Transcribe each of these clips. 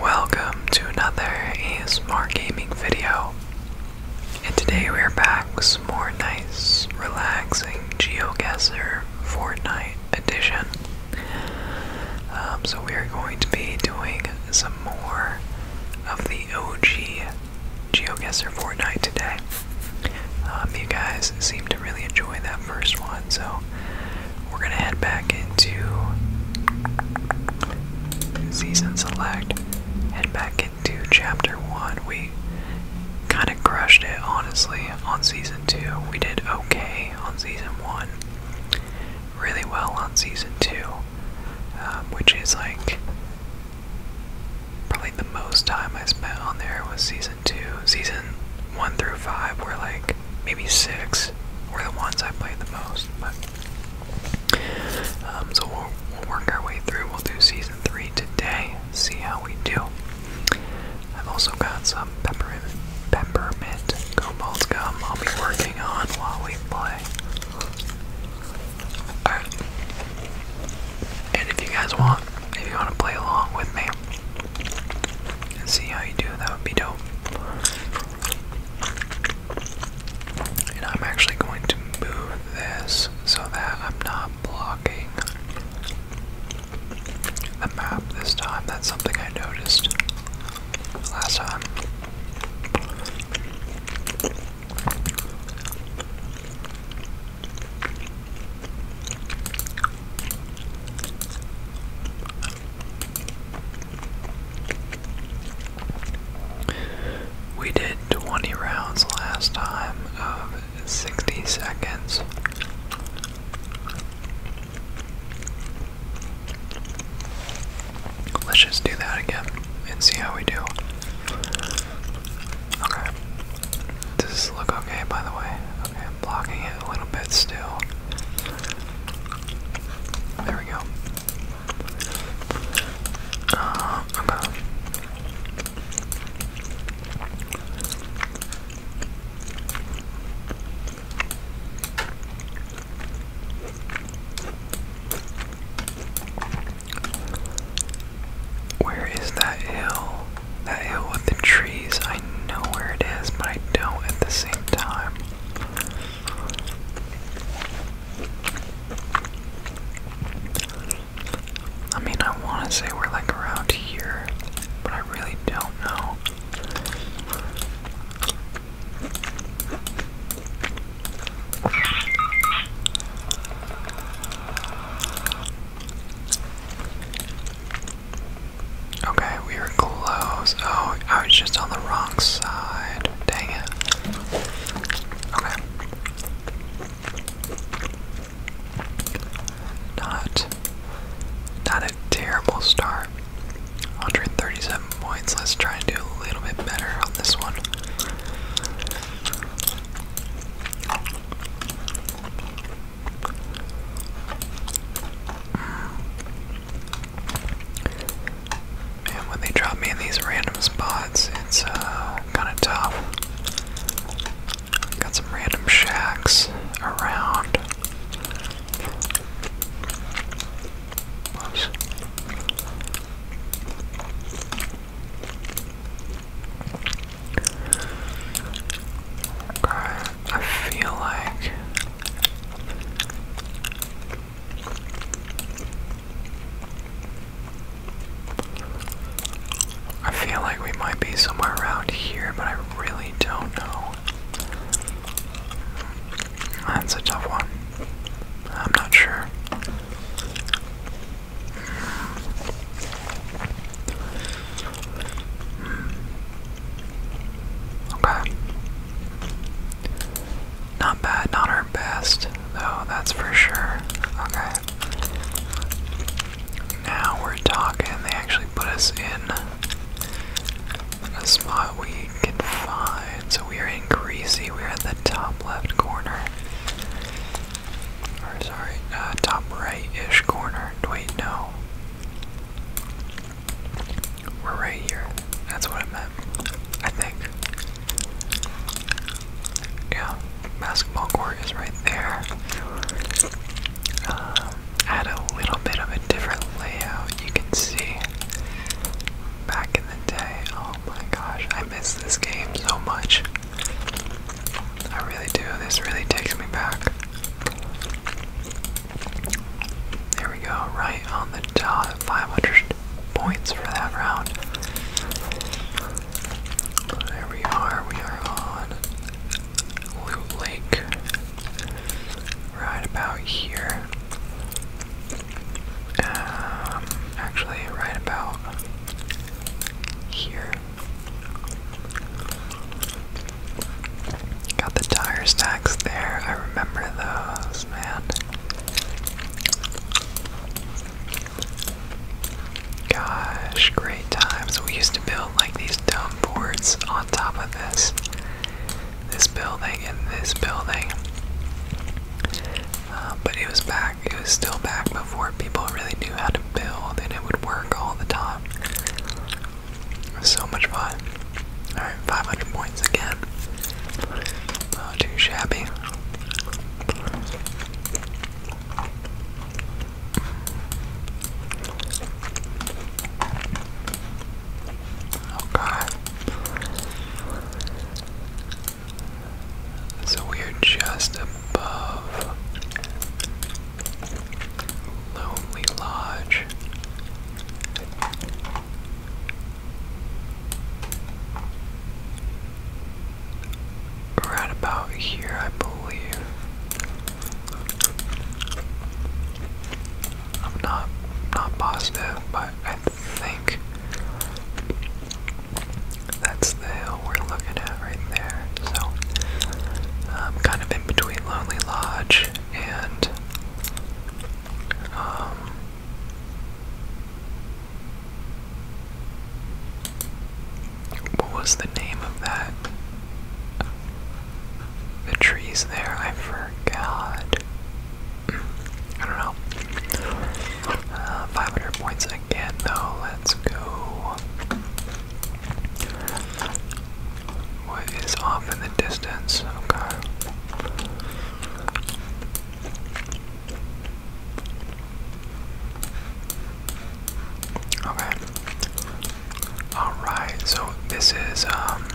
Welcome to another ASMR gaming video. And today we are back with some more nice, relaxing Geoguesser Fortnite edition. Um, so we are going to be doing some more of the OG Geoguesser Fortnite today. Um, you guys seem to really enjoy that first one, so we're gonna head back into season select. Head back into chapter one. We kind of crushed it, honestly, on season two. We did okay on season one, really well on season two, um, which is like probably the most time I spent on there was season season two, season one through five were like maybe six were the ones I played the most. But um, so we'll, work our way through. We'll do season three today. See how we do. I've also got some peppermint, peppermint cobalt gum. I'll be working on while we play. And if you guys want, if you want to play along with me, and see how you do. That would be dope. And I'm actually going to move this so that I'm not blocking the map this time. That's something I noticed last time. We did 20 rounds last time of 60 seconds. Let's just do that again and see how we do. Okay. Does this look okay, by the way? Okay blocking it a little bit still. There we go. Uh, Where is that hill? That hill with the trees, I know where it is, but I don't at the same time. I mean, I want to say we're like around here, but I really don't know. Okay, we were close. Oh, I was just on the wrong side. Dang it. Okay. Not not a terrible start. 137 points. Let's try and do a little bit better on this one. And when they drop me in these random spots, it's uh, kind of tough. Got some random shacks around. Okay, I feel like I feel like we might be somewhere around here, but I really don't know. That's a tough one. I'm not sure. Mm. Okay. Not bad, not our best, though, that's for sure. Okay. Now we're talking. They actually put us in a spot we can find. So we are in Greasy. We're at the top left corner. Or sorry, uh, top right-ish corner. Wait, no. We're right here. That's what I meant. I think. Yeah, basketball court is right there. Um, had a little bit of a different layout. You can see back in the day. Oh my gosh, I miss this game so much. I really do. This really takes me back. There we go, right on the dot. 500 points for that round. There we are. We are on Loot Lake. Right about here. Um, actually, right about here. Got the tire stacks there. I remember those, man. Gosh, great times. We used to build like these dome boards on top of this. This building and this building. Uh, but it was back, it was still back before people really knew how to build and it would work all the time. so much fun. Alright, 500 points again. Not oh, too shabby. Okay. So we are just above Lonely Lodge. Right about here, I believe. I'm not not positive, but I think that's the hill we're looking at right there. So I'm um, kind of in between Lonely Lodge and um, what was the name of that? The trees there, I forgot. I don't know. Uh, 500 points again, though. Let's go. What is off in the distance? Okay. Okay. Alright, so this is, um,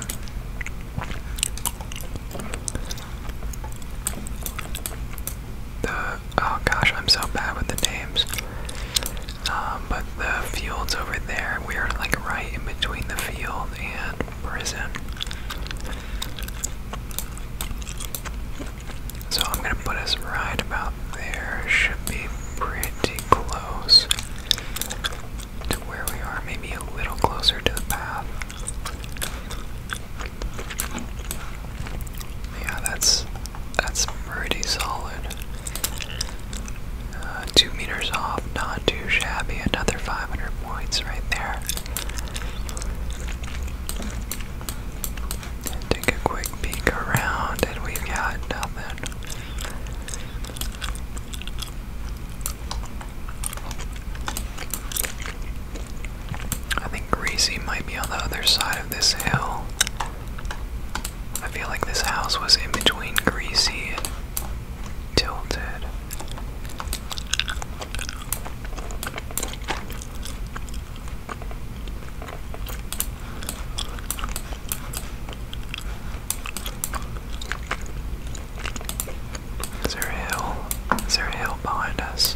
the oh gosh, I'm so bad with the names. Um, but the fields over there, we are like right in between the field and prison. So I'm gonna put us right about there. Should be pretty close to where we are, maybe a little closer to the path. Yeah, that's that's pretty solid. Uh, two meters off, not too shabby. Another 500 points right there. take a quick peek around, and we've got nothing. I think Greasy might be on the other side of this hill. I feel like this house was in between Greasy and Tilted. Is there a hill? Is there a hill behind us?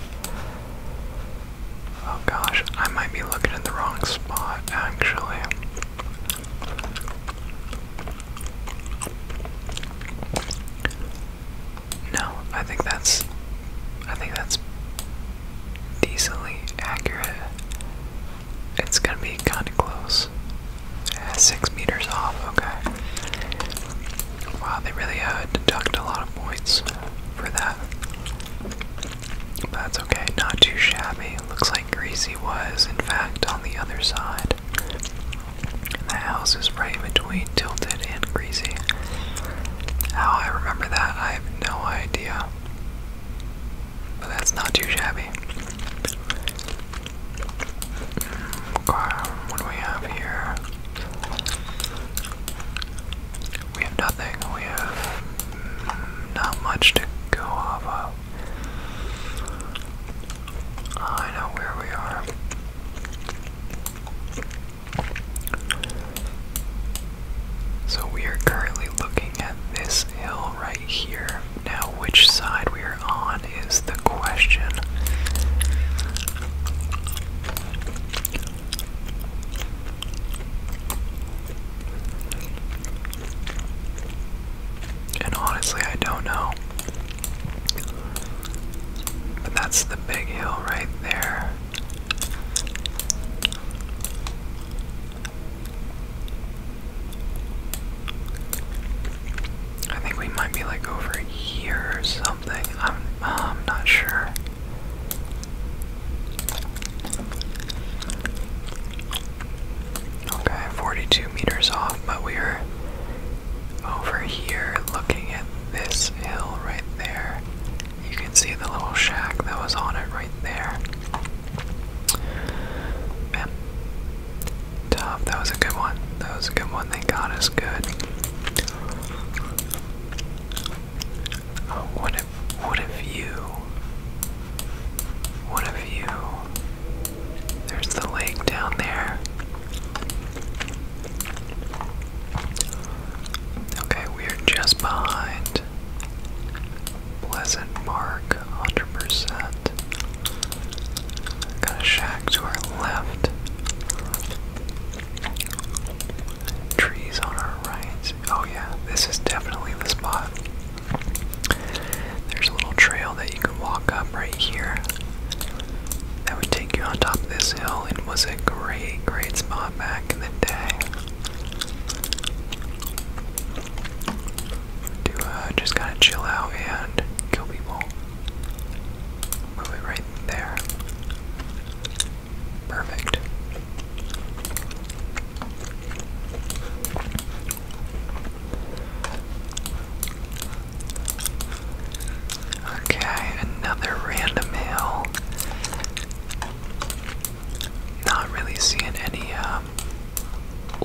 Oh gosh, I might be looking in the wrong spot actually. No, I think that's I think that's decently accurate. It's gonna be kinda close. six meters off, okay. Wow, they really uh, deduct a lot of points for that. That's okay, not too shabby. Looks like Greasy was, in fact, on the other side. And the house is right in between Tilted and Greasy. How I remember that, I have no idea. But that's not too shabby. Hmm, what do we have here? We have nothing. We have not much to go off of. I know where we are. So we are currently looking at this hill right here. Now, which side we are on is the question. And honestly, I don't know. But that's the big hill right there. I think we might be like over here or so. I'm, I'm not sure. Okay, 42 meters off, but we are over here looking at this hill right there. You can see the little shack that was on it right there. tough. That was a good one. That was a good one. They got us good. Uh, what if, what if you, what if you, there's the lake down there. Okay, we are just behind Pleasant Park, 100%. Got a shack to our left. Trees on our right. Oh yeah, this is definitely the spot. There's a little trail that you can walk up right here. That would take you on top of this hill. It was a great, great spot back in the day. To uh, just kind of chill out and kill people. Move it right there. Perfect. Okay, another random hill. Not really seeing any um,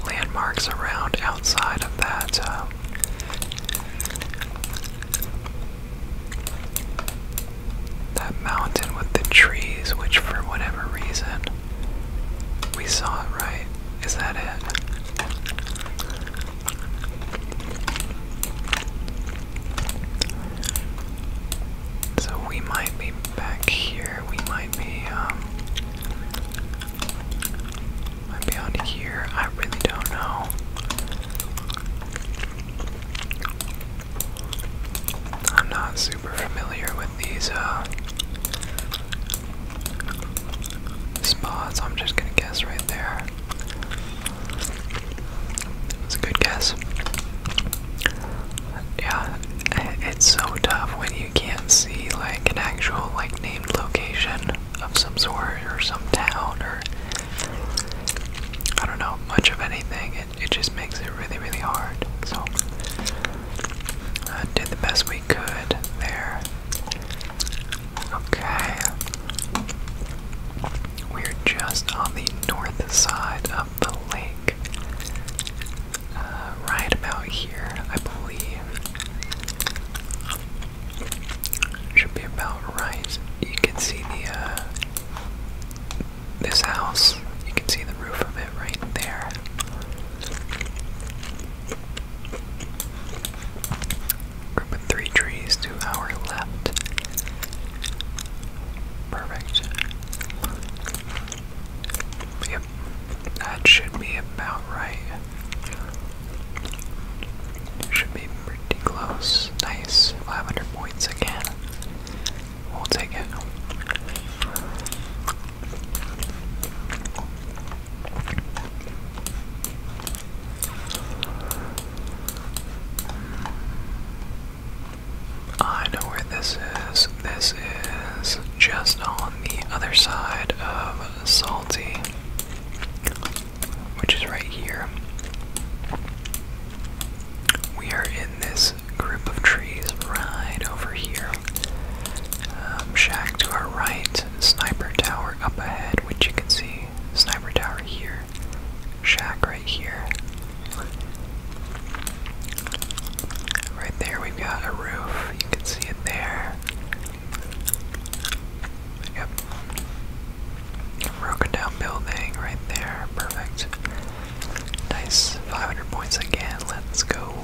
landmarks around outside of that. Uh, that mountain with the trees, which for whatever reason we saw it right. Is that it? So we might be back here. We might be, um, might be on here. I really don't know. I'm not super familiar with these uh, spots. I'm just gonna guess right there. It's a good guess. Yeah, it's so tough when you can't see like an actual like named location of some sort or some town or I don't know much of anything. It, it just makes it really, really hard. So, I did the best we could there. Okay. We're just on the north side of the lake. Uh, right about here, I believe. Should be about right. You can see the uh this house. You can see the roof of it right there. Group of three trees to our left. Perfect. Yep, that should be about right. Should be Pretty close. Nice. 500 points again. We'll take it. I know where this is. This is just on the other side of Salty which is right here. We are in this group of trees right over here. Um, shack to our right, sniper tower up ahead, which you can see. Sniper tower here, shack right here. Right there, we've got a roof. You can see it there. Yep. Broken down building right there. Perfect. Nice. 500 points again. Let's go.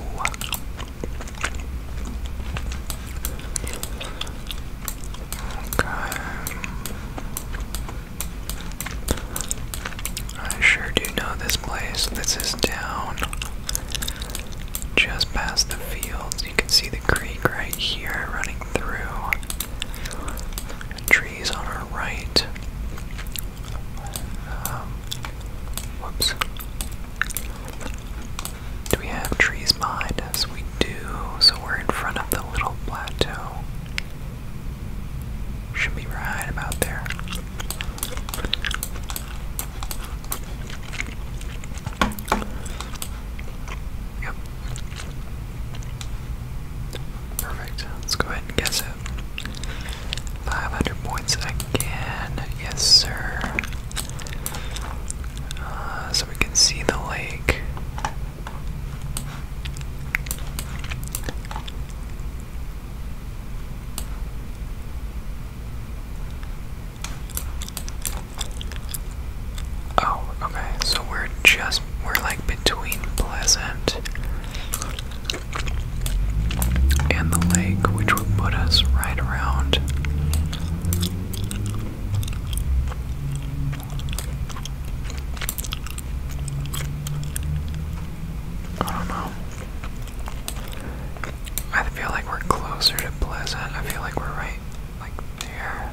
Okay. I sure do know this place. This is down just past the fields you can see the creek right here running through. Trees on our right. Um, whoops. Do we have trees behind us? We do. So we're in front of the little plateau. Should be right about there. Yep. Perfect. Let's go ahead and guess it. 500 points again. Yes, sir. Uh, so we can see the lake. Oh, okay. So we're just we're like between Pleasant and the lake, which would put us right around I don't know. I feel like we're closer to Pleasant. I feel like we're right like there.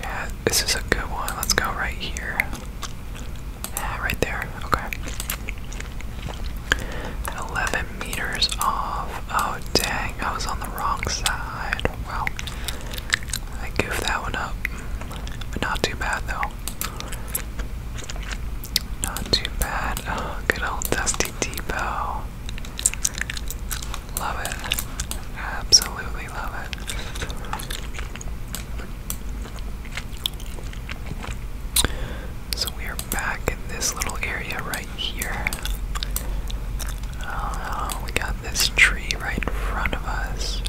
Yeah, this is a good one. Let's go right here. Yeah, right there. Okay. 11 meters off. Oh, dang. I was on the wrong side. Well, I goofed that one up. But not too bad though. Not too bad. Oh, good old Dusty Depot. Love it. Absolutely love it. So we are back in this little area right here. Uh, we got this tree right in front of us.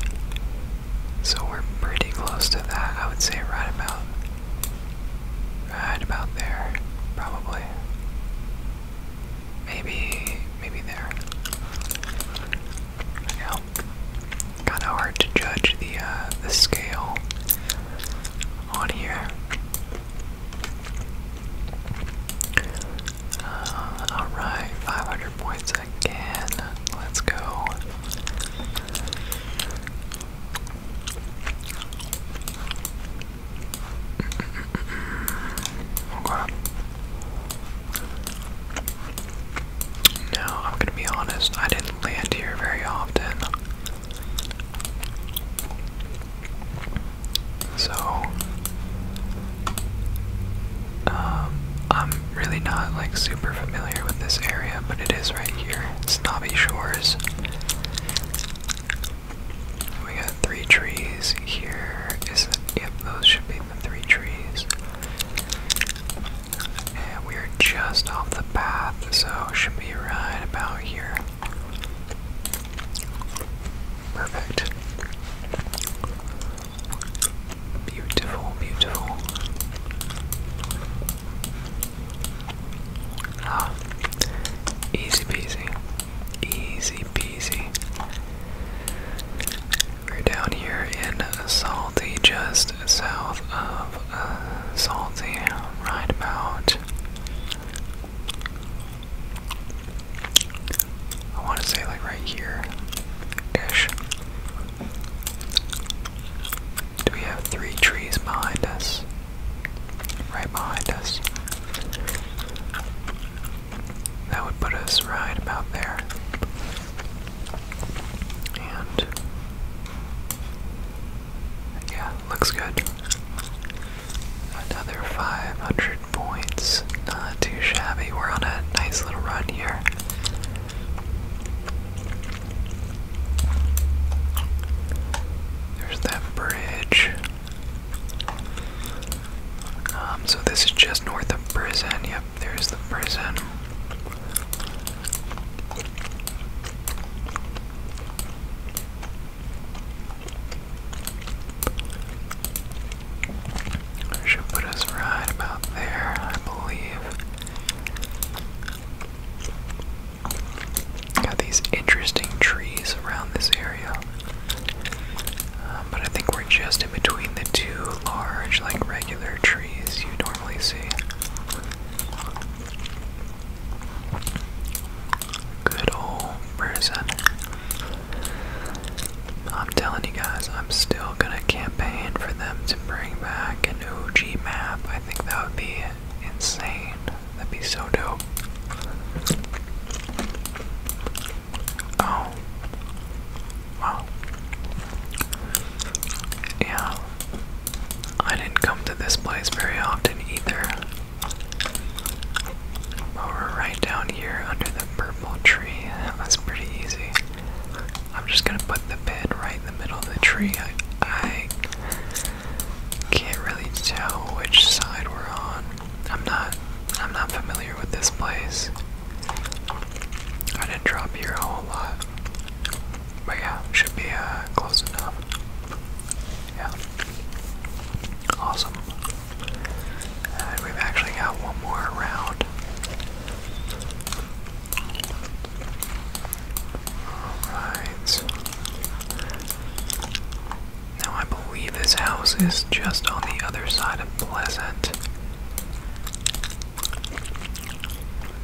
So we're pretty close to that. I would say right about right about there, probably. Maybe maybe there. Yeah. Kinda hard to judge the uh the scale on here. Uh, alright, 500 points again. Let's go. Okay. Now, I'm gonna be honest, I didn't land here very often. So, um, I'm really not like super familiar with this area, but it is right here. It's Snobby Shores. We got three trees here. Is it? Yep, those should be the three trees. And we are just off the path, so should be right about here. Perfect. Beautiful, beautiful. Ah, easy peasy, easy peasy. We're down here in Salty, just south of uh, Salty, right about I want to say like right here ish. Do we have three trees behind us? Right behind us. That would put us right about there. And yeah, looks good. Another 500 points. Not too shabby. We're on a nice little run here. There's that bridge. Um, so this is just north of prison. Yep, there's the prison. Should put us right about there, I believe. Got these interesting trees around this area. Um, but I think we're just in between the two large, like regular trees you normally see. Good old person. I'm telling you guys, I'm still gonna campaign for them to bring back a new G map. I think that would be insane. That'd be so dope. Oh. Wow. Yeah. I didn't come to this place very often either. But we're right down here under the purple tree. That pretty easy. I'm just gonna put the bed right in the middle of the tree. I, I can't really tell which side we're on. I'm not I'm not familiar with this place. I didn't drop here a whole lot. But yeah, should be uh, close enough. Yeah. Awesome we've actually got one more round. Alright. Now I believe this house is just on the other side of Pleasant.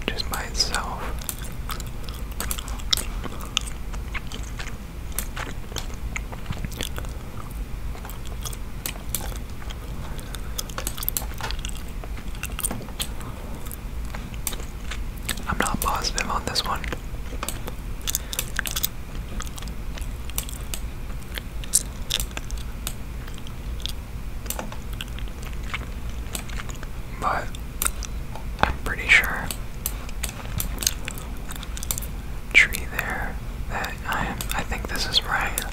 Just by itself. I'm not positive on this one. But pretty sure tree there that I am I think this is right.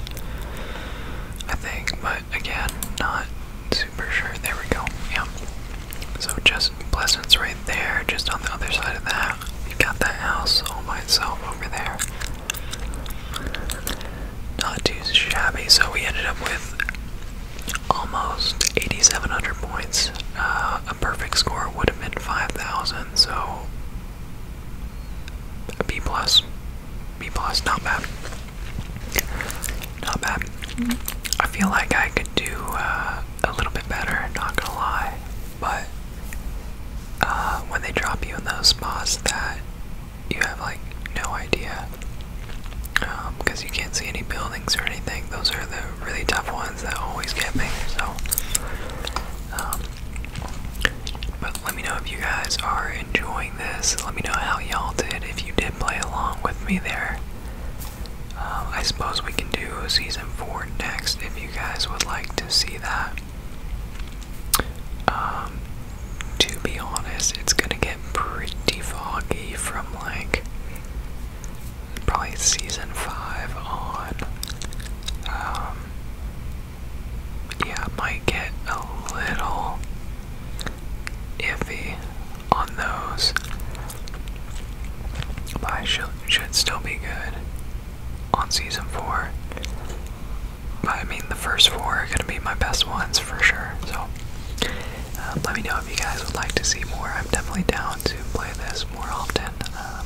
I think, but again, not super sure. There we go. Yeah. So just Pleasant's right there, just on the other side of that. You got that house all by itself over there. Not too shabby. So we ended up with almost 8,700 points. Uh, a perfect score would have been 5,000. So B plus. B plus, not bad. Not bad. I feel like I could do uh, a little bit better, not gonna lie. But uh, when they drop you in those spots that you have like no idea, because um, you can't see any buildings or anything, those are the really tough ones that always get me. So um, but let me know if you guys are enjoying this. Let me know how y'all did if you did play along with me there. Uh, I suppose we can do season four next if you guys would like to see that. Um, to be honest, it's gonna get pretty foggy from like probably season five on. Um, yeah, might get a little iffy on those, but should, should still be good on season four. I mean, the first four are gonna be my best ones for sure. So um, let me know if you guys would like to see more. I'm definitely down to play this more often. Um,